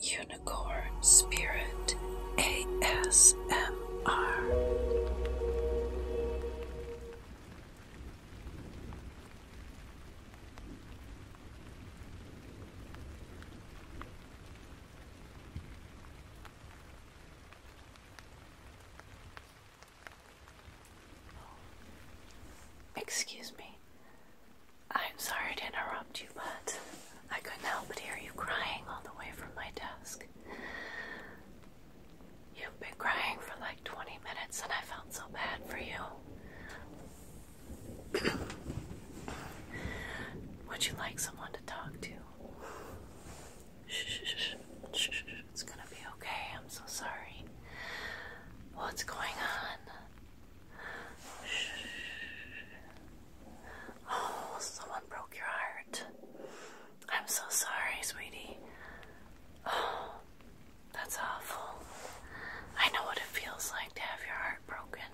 Unicorn Spirit ASMR. Excuse me, I'm sorry to interrupt you, but I couldn't help but hear you crying all the way from my desk. You've been crying for like 20 minutes, and I felt so bad for you. Would you like someone to talk to? it's gonna be okay. I'm so sorry. What's going on? Oh, someone broke your heart. I'm so sorry, sweetie. Oh, that's awful. I know what it feels like to have your heart broken.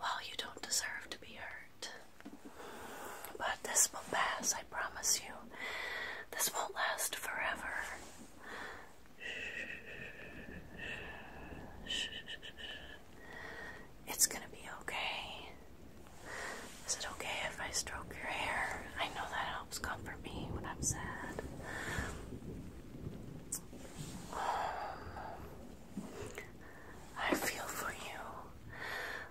Well, you don't deserve to be hurt. But this will pass, I promise you, this won't last forever. It's gonna be okay. Is it okay if I stroke your hair? I know that helps comfort me when I'm sad. I feel for you,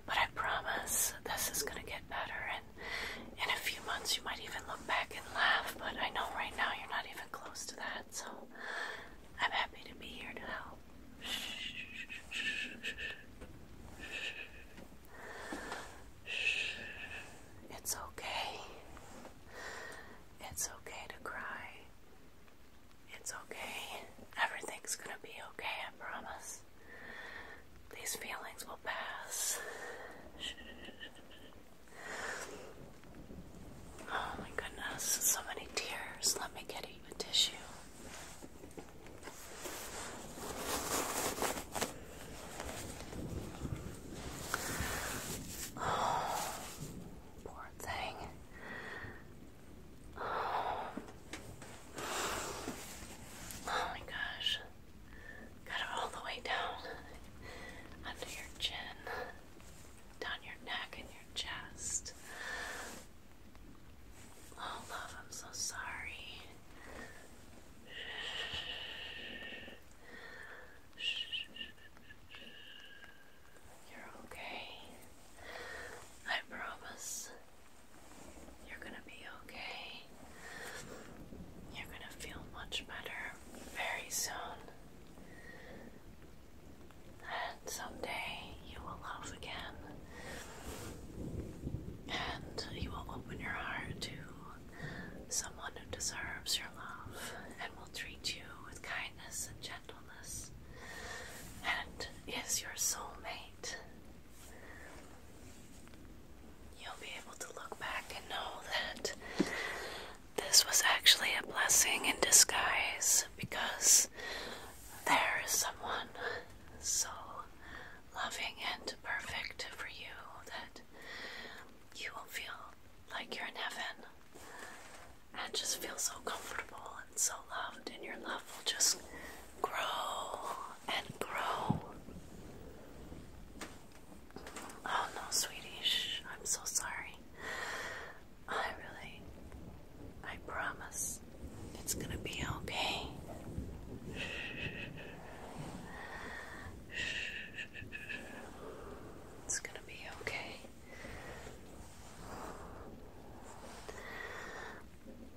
but I promise this is gonna get better in a few months you might even look back and laugh, but I know right now you're not even close to that, so I'm happy to be here to help. It's okay. It's okay to cry. It's okay. Everything's gonna be okay, I promise. These feelings will pass. Oh my goodness, so many tears. Let me get you a tissue. Oh, poor thing. Oh my gosh. Got it all the way down under your chin, down your neck and your chest. Oh, love, I'm so sorry. You're okay. I promise. You're gonna be okay. You're gonna feel much better very soon. And someday you will love again. And you will open your heart to someone who deserves your love and will treat you with kindness and gentleness and is your soulmate. You'll be able to look back and know that this was actually a blessing in disguise because there is someone so loving and perfect for you that you will feel like you're in heaven and just feel so comfortable and so loved, and your love will just grow and grow. Oh no, Swedish, I'm so sorry. I really, I promise it's gonna be okay. It's gonna be okay.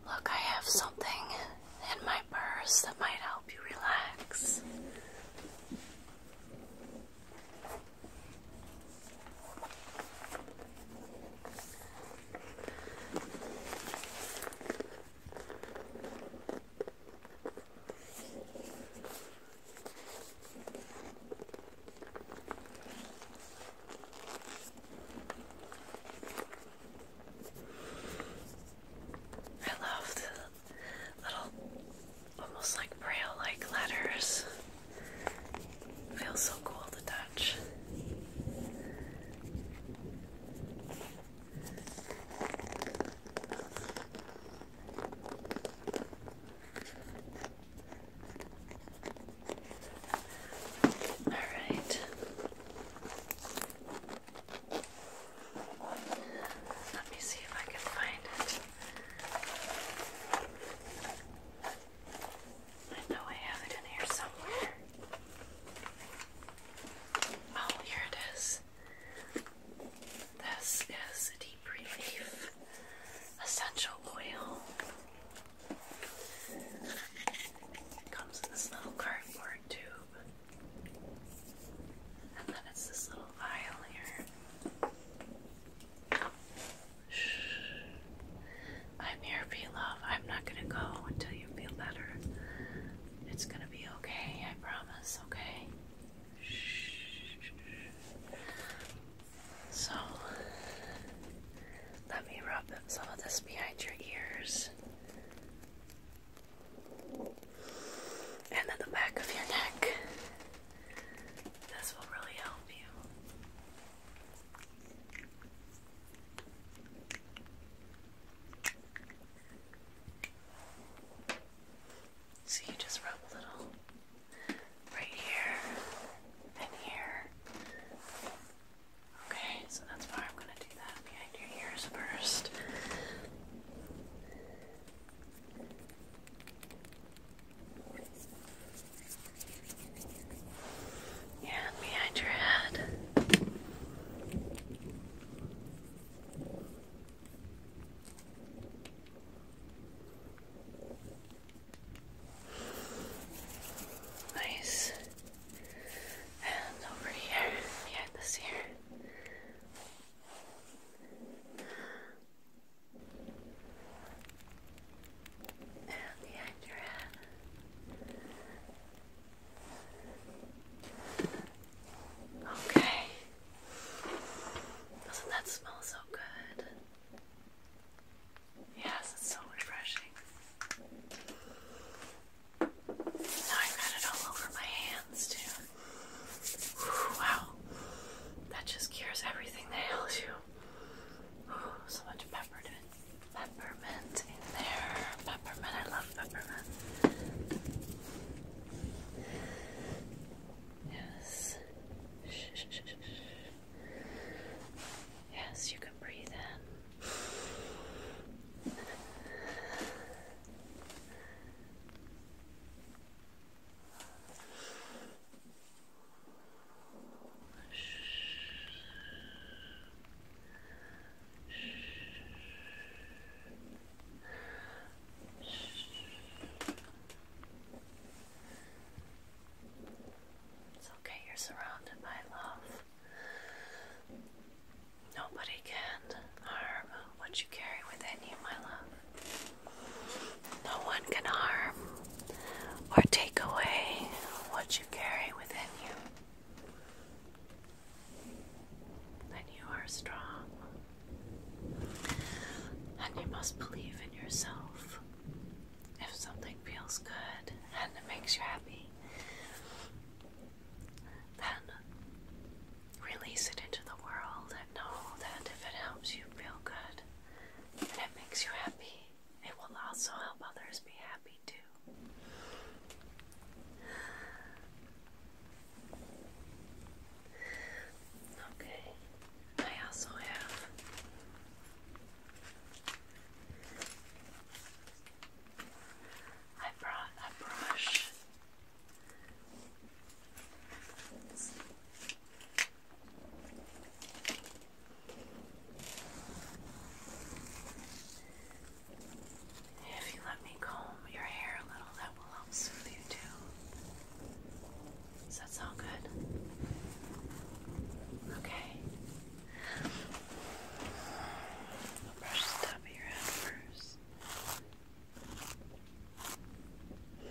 Look, I have something in my purse that might help you relax. I love the little, almost like braille-like letters. Feels so cool to touch. All right. Let me see if I can find it. I know I have it in here somewhere. Oh, here it is. This is a deep relief essential oil comes in this little cardboard tube. And then it's this little vial here. I'm here for love. I'm not gonna go until you feel better. It's gonna be okay, I promise, okay? So let me rub some of this behind your ears. And then the back of your neck. This will really help you. So you just rub a little right here and here Okay, so that's why I'm gonna do that behind your ears first. Yeah, behind your head. Nice. And over here, behind this ear. And behind your Okay. Doesn't that smell so good? Yes, it's so refreshing. Now I've got it all over my hands too. wow, that just cures everything that ails you. so much peppermint, peppermint in there. Peppermint, I love peppermint. Yes. Yes, you can breathe in. Shh. Shh. It's okay, you're surrounded by love. Nobody can harm what you carry within you, my love. No one can harm or take away what you carry within you. Then you are strong. And you must believe in yourself if something feels good and it makes you happy, then release it into the world and know that if it helps you feel good and it makes you happy, it will also help others be happy too. Okay, I also have I brought a brush. If you let me comb your hair a little, that will help soothe you too. Does that sound good? Okay. I'll brush the top of your head first. Good.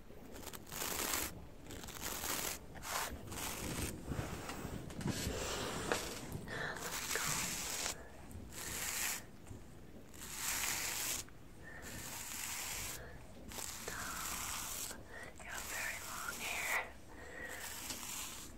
You have very long hair. Good.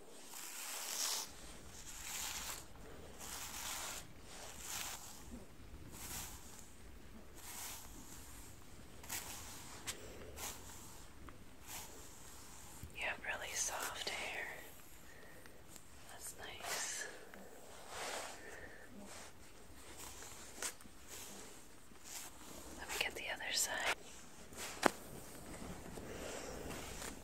You have really soft hair. That's nice. Let me get the other side.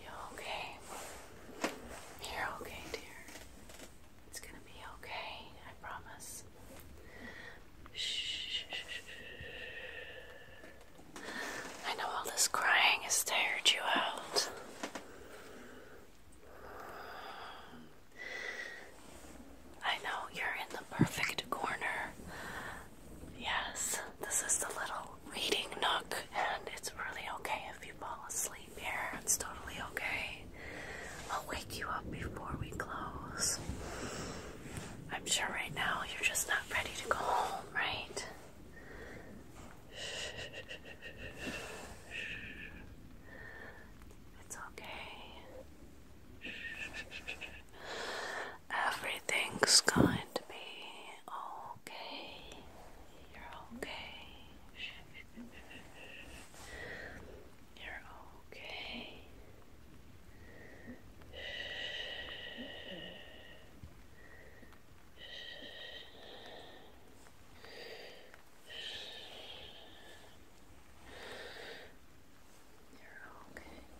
You okay? You're okay, dear. It's gonna be okay, I promise. I know all this crying has tired you out. I know you're in the perfect corner. Yes, this is the little reading nook, and it's really okay if you fall asleep here. It's totally okay. I'll wake you up before we close. I'm sure right now you're just not ready to go home, right? It's okay. Everything's going to be okay. You're okay. You're okay. You're okay.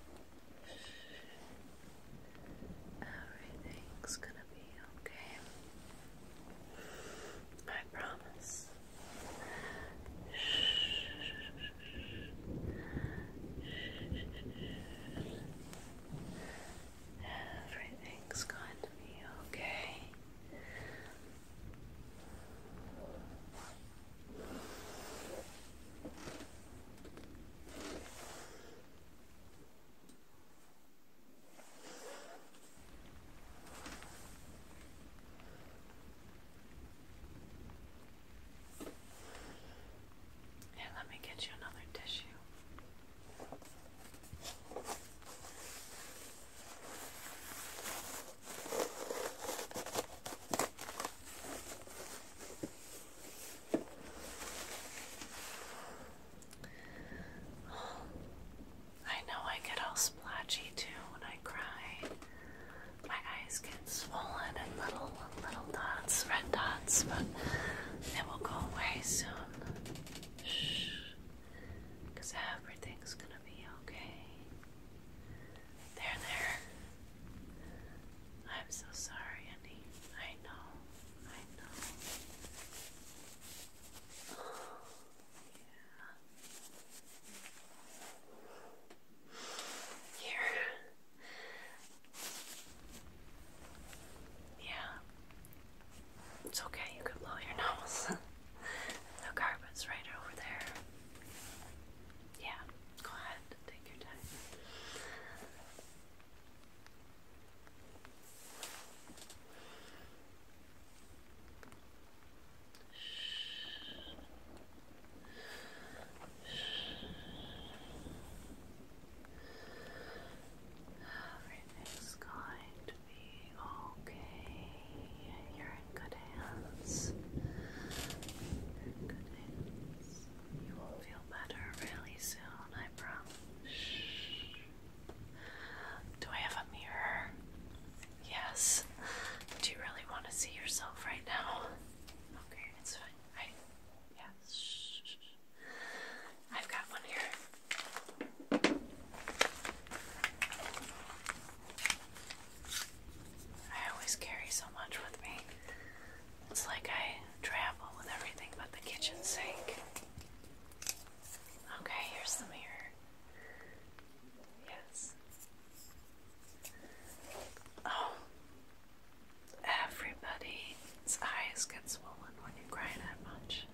Everything's gonna be okay. I promise. Everything's going to be okay. Here, let me get you another tissue. I know I get all splotchy too when I cry. My eyes get swollen and little little dots, red dots, but it will go away soon. Shh. Because everything's gonna be okay. There, there. I'm so sorry, Annie. I know. I know. yeah. Here. Yeah. It's okay, you can blow your nose. the carpet's right over there. Yeah, go ahead, take your time. Everything's going okay. You're in good hands. good hands. You will feel better really soon, I promise. Do I have a mirror? Yes. Do you really want to see yourself right now? Okay, it's fine. I yes. I've got one here. I always carry so much with me. It's like I travel with everything but the kitchen sink. Okay, here's the mirror. Yes. Oh. Everybody's eyes get swollen when you cry that much.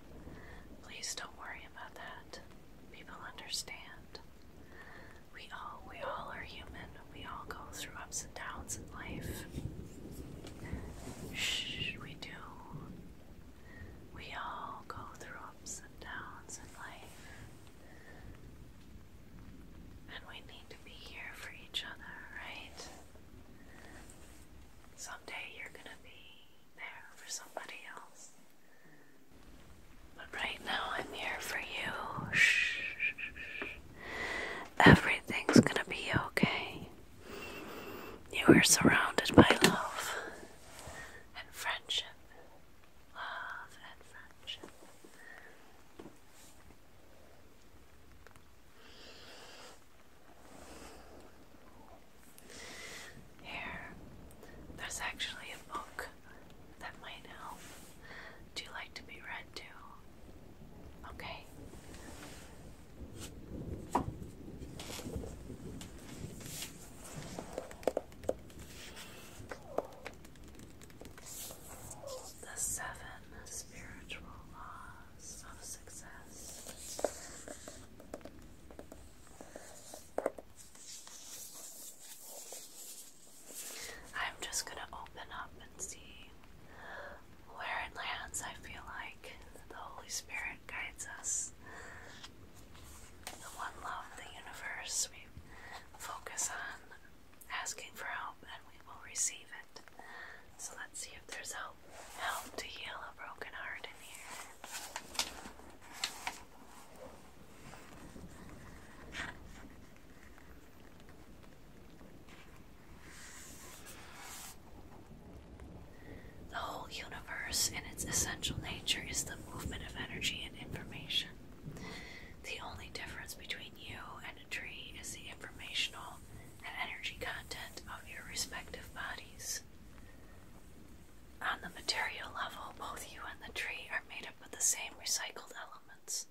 Please don't worry about that. People understand. We all we all are human. We all go through ups and downs in life. Shh, we do. We all go through ups and downs in life. And we need to be here for each other, right? Someday you're gonna be there for somebody else. But right now, I'm here for you. Shh. Everything's gonna be okay. You are surrounded by love and friendship. Love and friendship. Here, there's actually a book that might help. Do you like to be read to? Okay. The seven spiritual laws of success. I'm just going to open up and see where it lands. I feel like the Holy Spirit guides us. The one love, the universe, we focus on asking for help and we will receive it. So let's see if there's help help to heal a broken heart in here. The whole universe, in its essential nature, is the movement of energy and information. The only difference between you and a tree is the informational and energy content of your respective bodies. On the material level, both you and the tree are made up of the same recycled elements,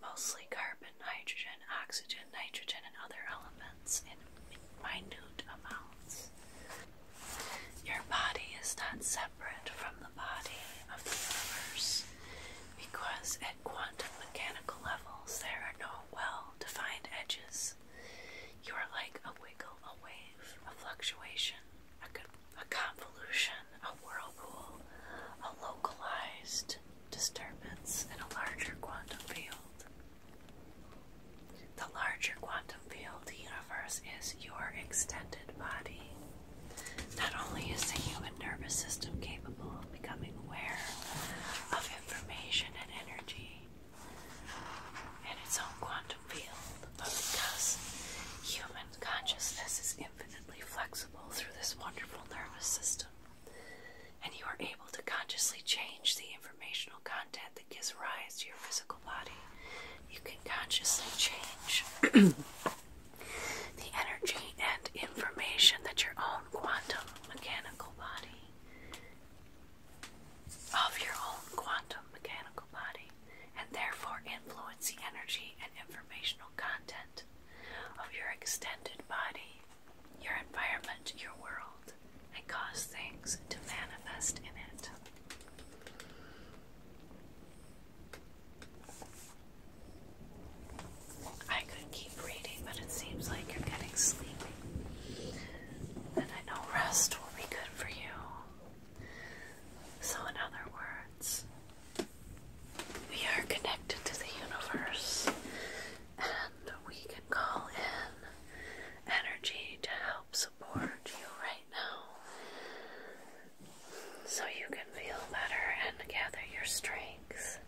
mostly carbon, hydrogen, oxygen, nitrogen, and other elements in minute amounts. Your body is not separate from the body of the universe because at quantum mechanical levels there are no well defined edges you are like a wiggle, a wave, a fluctuation, a, convolution, a whirlpool, a localized disturbance in a larger quantum field. The larger quantum field, the universe, is your extended body. Not only is the human nervous system capable of becoming aware of information and energy, in its own quantum field, because human consciousness is infinitely flexible through this wonderful nervous system, and you are able to consciously change the informational content that gives rise to your physical body, you can consciously change the energy and information that your own quantum mechanical body of your own quantum mechanical body and therefore influence the energy and informational content of your extended body, your environment, your world, and cause things to manifest in it. I could keep reading, but it seems like you're getting sleepy. And I know rest will be good for you. So, in other words, we are connected to the universe and we can call in energy to help support you right now so you can feel better and gather your strength.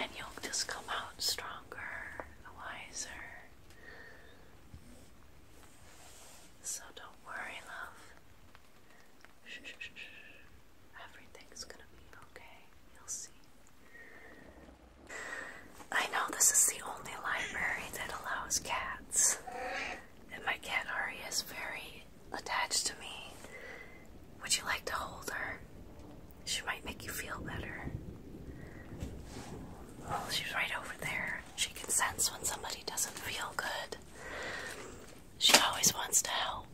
And you'll just come out stronger, wiser. So don't worry, love. Everything's gonna be okay. You'll see. I know this is the only library that allows cats. And my cat Ari is very attached to me. Would you like to hold her? She might make you feel better. she's right over there. She can sense when somebody doesn't feel good. She always wants to help.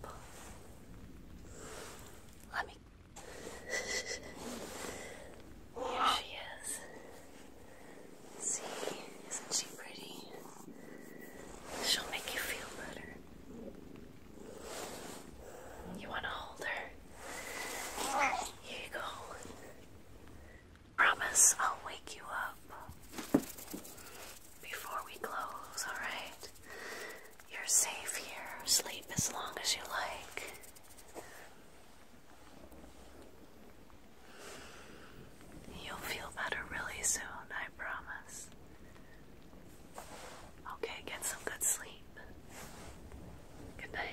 Let me. Here she is. See, isn't she pretty? She'll make you feel better. You want to hold her? Here you go. Promise I'll wake you up before we close, alright? You're safe here. Sleep as long as you like. You'll feel better really soon, I promise. Okay, get some good sleep. Good night.